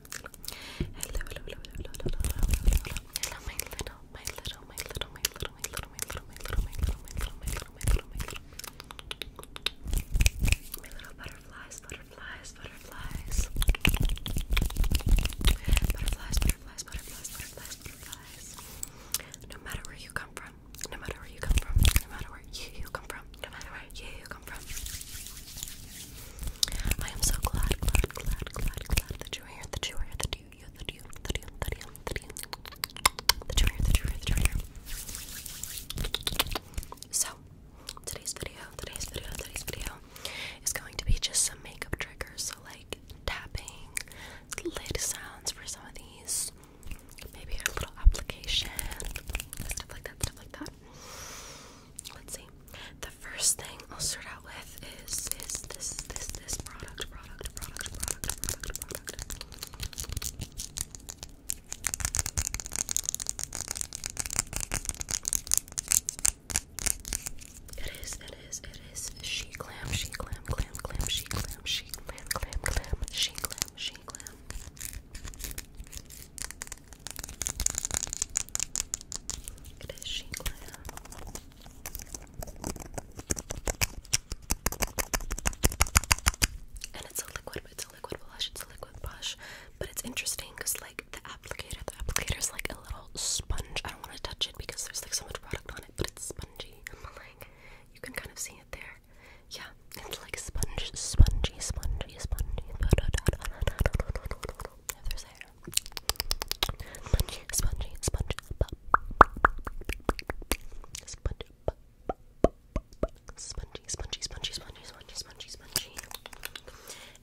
hello, hello, hello, hello, hello, hello, hello, my little, my little, my little, my little, my little, my little, my little, my little, my little, my little, my little, my little, my little butterflies, butterflies, butterflies, butterflies, butterflies, butterflies, butterflies, butterflies. No matter where you come from, no matter where you come from, no matter where you come from, no matter where you come from. I am so glad, that you are here, that you are here, that you, that you, that you, that you, that you, that you that you that you are here. So, today's video, today's video, today's video is going to be just some makeup triggers. So, like tapping, lid sounds for some of these, maybe a little application, stuff like that, stuff like that let's see. The first thing I'll start out with is is this this this product product product product product product. It is it is it is she glam she glam glam glam she glam she glam glam glam she glam she glam. It is And it's a liquid, it's a liquid blush, it's a liquid blush. But it's interesting because like the applicator, the applicator is like a little sponge. I don't want to touch it because there's like so much product on it, but it's spongy. you can kind of see it there. Yeah, it's like sponge, spongy, spongy, spongy. If hair. Spongy, spongy, pop. Spongy, pop. Spongy, spongy, spongy, spongy, spongy, spongy, spongy.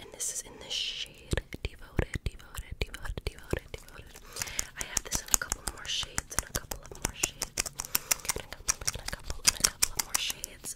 And this is in the shade Devoted, Devoted, Devoted, Devoted, Devoted. I have this in a couple more shades, and a couple of more shades, and a couple, and a couple, and a couple of more shades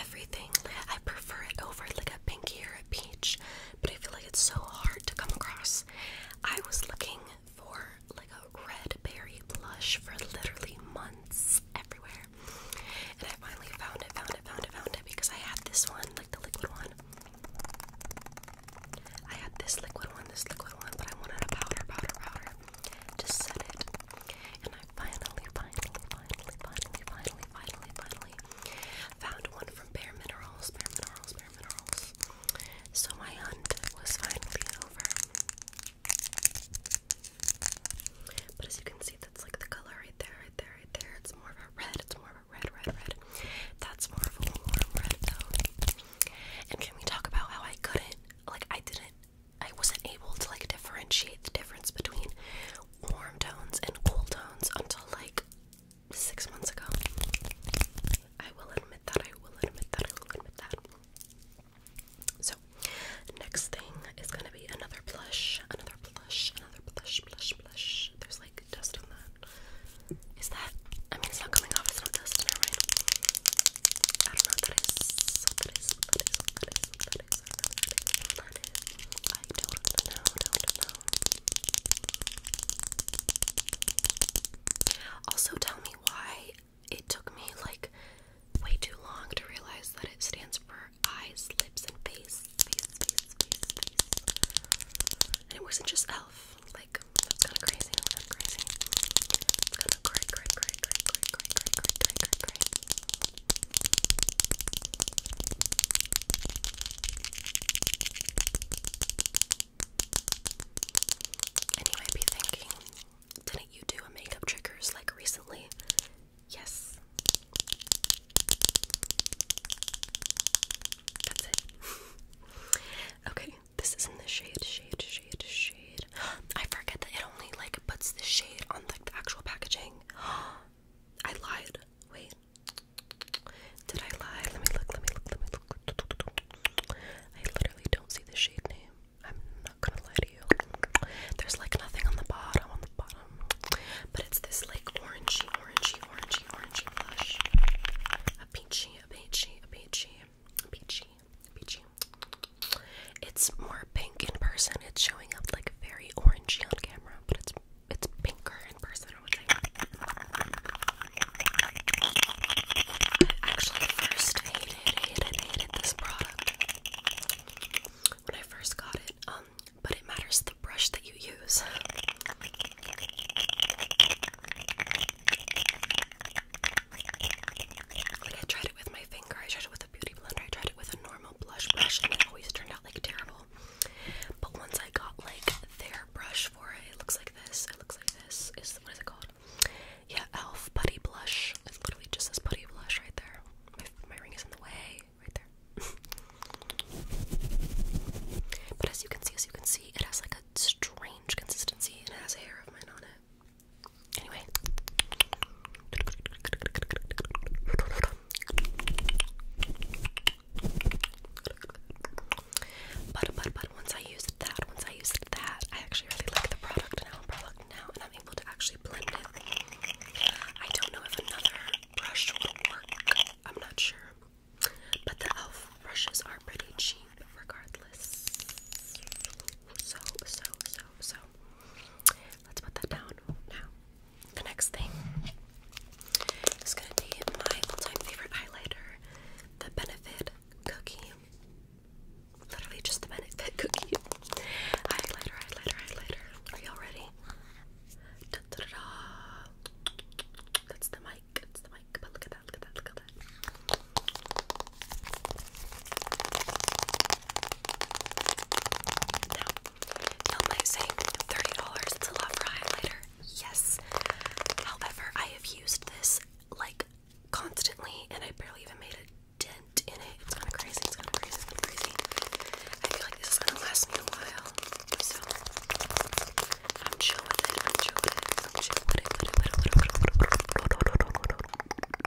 everything. I prefer it over like a pinky or a peach, but I feel like it's so hard to come across. I was looking for like a red berry blush for literally months everywhere, and I finally found it, found it, found it, found it because I had this one, like the liquid one. I had this liquid one, this liquid one, but I wanted a powder, powder, powder to set it. And I finally, finally, finally, finally, finally, finally, finally, actually. Found one from Bare Minerals, Bare Minerals, Bare Minerals. So my hunt was finally over. But as you can see, that's like the color right there, right there, right there. It's more of a red, it's more of a red, red, red. That's more of a warm red though. And can we talk about how I couldn't, like I didn't, I wasn't able to like differentiate the difference between warm tones and cool tones until like six months ago. I will admit that, I will admit that, I will admit that. So, next thing is gonna be another blush, another blush, another blush, blush, blush. There's like dust on that. Is that? I mean, it's not coming off. It's not dust. I don't know what that is. What that is? What that is? I don't know, don't know. Also, tell me why it took me like way too long to realize that it stands for eyes, lips, and face. Face, face, face, face. And it wasn't just elf. Like, that's kind of crazy. That's kind of crazy. It's kind of cray, cray, cray, cray, cray, cray, cray, cray, cray, cray, cray. And you might be thinking, didn't you do a makeup triggers like recently? Yes. That's it. okay, this is in the shade, shade, shade, shade. I forget that it only like puts the shade on like the actual packaging. I lied. Wait. Did I lie? Let me look, let me look, let me look. I literally don't see the shade name. I'm not gonna lie to you. There's like nothing on the bottom, on the bottom. But it's this like orangey, orangey, orangey, orangey blush. A peachy, a peachy, a peachy, a peachy, a peachy. It's more pink in person. It's showing up like very orangey on camera, but it's it's pinker in person. I would say. Actually, first hated, hated, hated this product when I first got it. Um, but it matters the brush that you use. Like I tried it with my finger, I tried it with beauty blender. I tried it with a normal blush brush and it always turned out like terrible. But once I got like their brush for it, it looks like this. It looks like this. Is what is it called? Yeah, Elf Putty Blush. It's literally just this putty blush right there. My, ring is in the way, right there. but as you can see, as you can see, it has like a strange consistency and it has a hair of mine on it. Anyway. But but but once I used that, once I used that, I actually really like the product now, product now, and I'm able to actually blend it. I don't know if another brush will work. I'm not sure. But the elf brushes are pretty cheap regardless. So so so so Let's put that down now. The next thing is going to be my all-time favorite highlighter, the Benefit Cookie. Literally just the Benefit Cookie. highlighter, highlighter, highlighter. Are y'all ready? Da, da, da, da. That's the mic. That's the mic. But look at that. Look at that. Look at that. Now, you might say $30 is a lot for highlighter. Yes. However, I have used this like constantly and I barely even made a dent in it. It's kind of crazy. It's kind of crazy. It's kind of crazy. I feel like this is going to last me a while. So, I'm chill with it. I'm chill with it.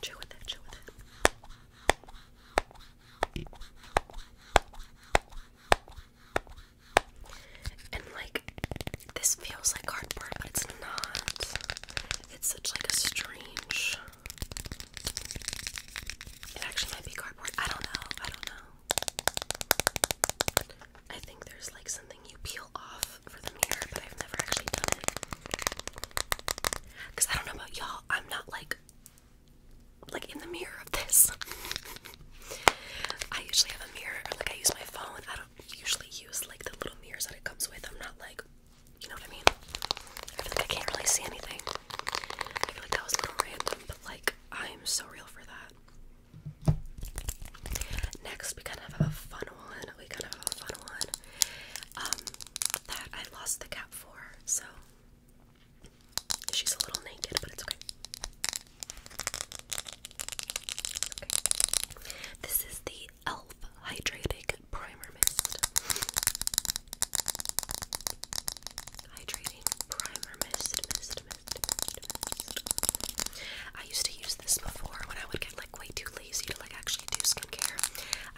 Chill with it, chill with it. And like this feels like cardboard, but it's not. It's such like a strange it actually might be cardboard. I don't know. I don't know. I think there's like something you peel off for the mirror, but I've never actually done it. Because I don't know about y'all, I'm not like like in the mirror of this. I usually have a mirror, like I use my phone. I don't usually use like the little mirrors that it comes with. I'm not like, you know what I mean? I feel like I can't really see anything. I feel like that was a little random, but like I'm so real for that. Next, we kind of have a fun one. We kind of have a fun one. Um, that I lost the cap for. So she's a little naked, but it's okay. This is the Elf Hydrating Primer Mist. Hydrating Primer Mist, mist, mist, mist, mist. I used to use this before when I would get like way too lazy to like actually do skincare.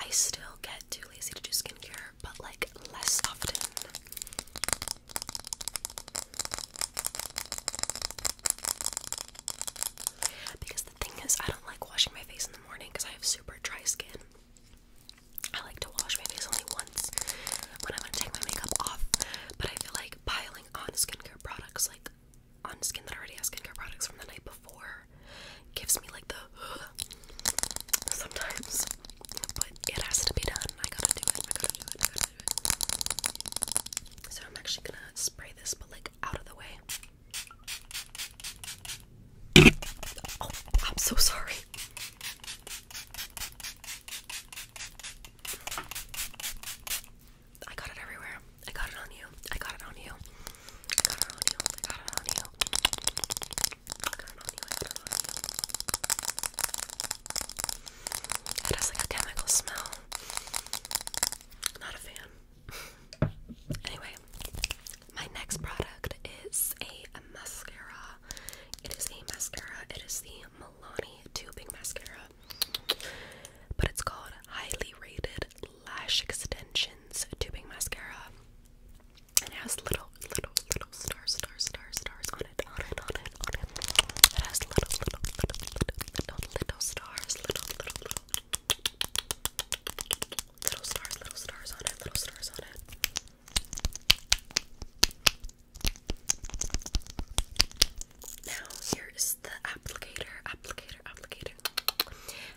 I still get too lazy to do skincare, but like less often. Because the thing is, I don't like washing my face in the morning because I have super dry skin. I like to wash my face only once when I want to take my makeup off, but I feel like piling on skincare products like on skin that already has skincare products from the night before gives me like the sometimes, but it has to be done. I gotta do it. I gotta do it. I gotta do it. So I'm actually gonna spray this, but like out of the way. oh, I'm so sorry. I got it everywhere. I got it on you. I got it on you. I got it on you. I got it on you. I got it on you. I got it on you. It has like a chemical smell. Not a fan. anyway, my next product is a mascara. It is a mascara. It is the Milani tubing mascara. But it's called Highly Rated Lash Extensions Tubing Mascara. And it has little, little, little star, star, star, stars on it, on it, on it, on it. It has little, little, little, little stars, little, little, little, little stars, little stars on it, little stars on it. Now here is the applicator, applicator, applicator.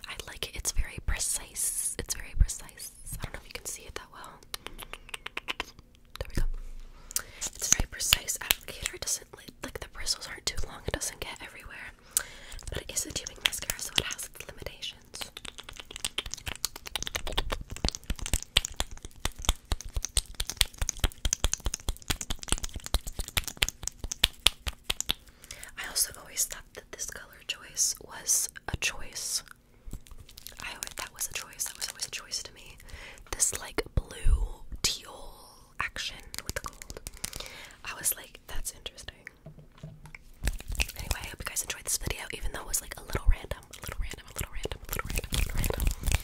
I like it. It's very precise. It's very precise. I don't know if you can see it that well. There we go. It's very precise applicator. It doesn't like the bristles aren't too long. It doesn't get everywhere. But it is a tubing mascara, so it has its limitations. I also always thought that this color choice was a choice. I always that was a choice. That was always a choice to me. This like blue teal action with the gold. I was like, that's interesting. Anyway, I hope you guys enjoyed this video, even though it was like a little random, a little random, a little random, a little random, a little random